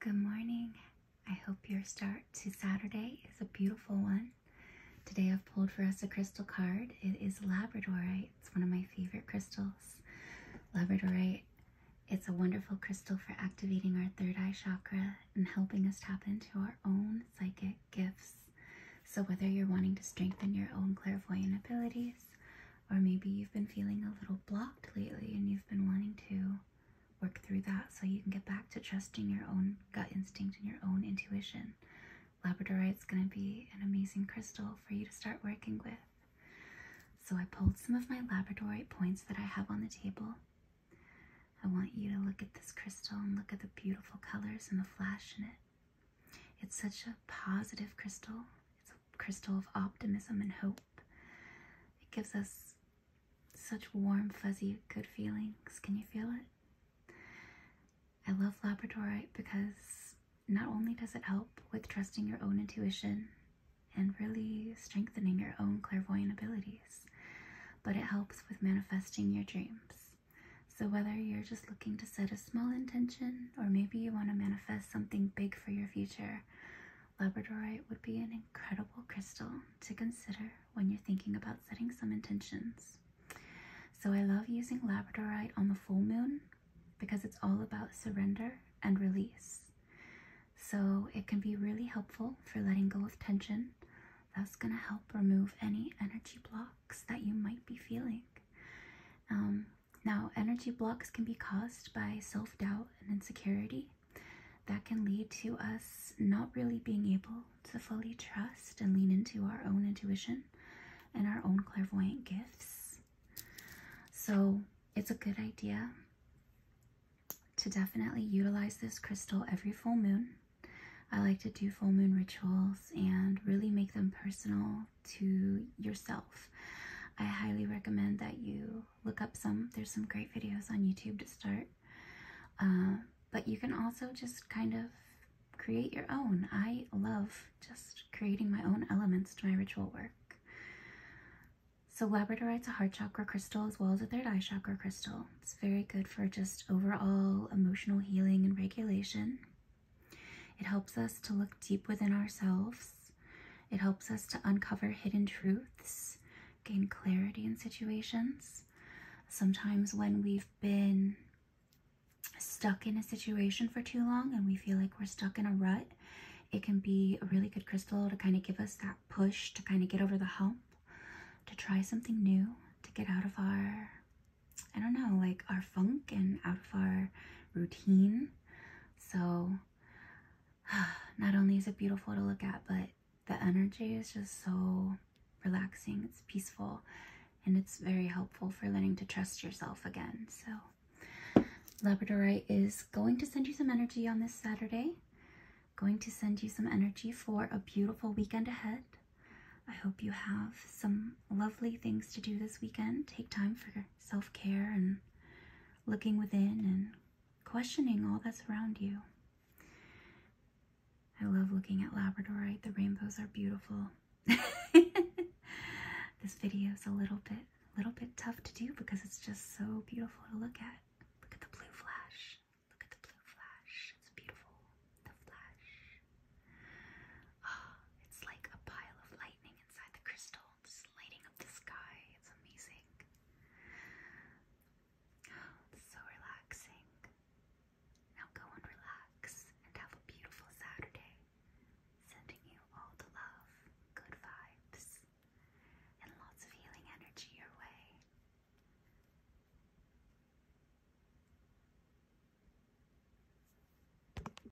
Good morning. I hope your start to Saturday is a beautiful one. Today I've pulled for us a crystal card. It is Labradorite. It's one of my favorite crystals. Labradorite, it's a wonderful crystal for activating our third eye chakra and helping us tap into our own psychic gifts. So whether you're wanting to strengthen your own clairvoyant abilities or maybe you've been feeling a little blocked lately and you've been wanting to work through that so you can get back to trusting your own gut instinct and your own intuition. Labradorite is going to be an amazing crystal for you to start working with. So I pulled some of my Labradorite points that I have on the table. I want you to look at this crystal and look at the beautiful colors and the flash in it. It's such a positive crystal. It's a crystal of optimism and hope. It gives us such warm, fuzzy, good feelings. Can you feel it? I love Labradorite because not only does it help with trusting your own intuition and really strengthening your own clairvoyant abilities, but it helps with manifesting your dreams. So, whether you're just looking to set a small intention or maybe you want to manifest something big for your future, Labradorite would be an incredible crystal to consider when you're thinking about setting some intentions. So I love using labradorite on the full moon because it's all about surrender and release. So it can be really helpful for letting go of tension. That's going to help remove any energy blocks that you might be feeling. Um, now, energy blocks can be caused by self doubt and insecurity. That can lead to us not really being able to fully trust and lean into our own intuition and our own clairvoyant gifts. So, it's a good idea to definitely utilize this crystal every full moon. I like to do full moon rituals and really make them personal to yourself. I highly recommend that you look up some. There's some great videos on YouTube to start. Uh, but you can also just kind of create your own. I love just creating my own elements to my ritual work. So labradorites, a heart chakra crystal as well as a third eye chakra crystal. It's very good for just overall emotional healing and regulation. It helps us to look deep within ourselves. It helps us to uncover hidden truths, gain clarity in situations. Sometimes when we've been stuck in a situation for too long and we feel like we're stuck in a rut, it can be a really good crystal to kind of give us that push to kind of get over the hump, to try something new, to get out of our, I don't know, like our funk and out of our routine so not only is it beautiful to look at, but the energy is just so relaxing. It's peaceful and it's very helpful for learning to trust yourself again. So Labradorite is going to send you some energy on this Saturday. Going to send you some energy for a beautiful weekend ahead. I hope you have some lovely things to do this weekend. Take time for self care and looking within and questioning all that's around you. I love looking at Labradorite, the rainbows are beautiful. this video is a little bit little bit tough to do because it's just so beautiful to look at. Look at the blue flash. Look at the blue flash. It's beautiful. The flash. Oh, it's like a pile of lightning inside the crystal clouds lighting up the sky. It's amazing. so relaxing. Now go and relax and have a beautiful Saturday. Sending you all the love, good vibes, and lots of healing energy your way.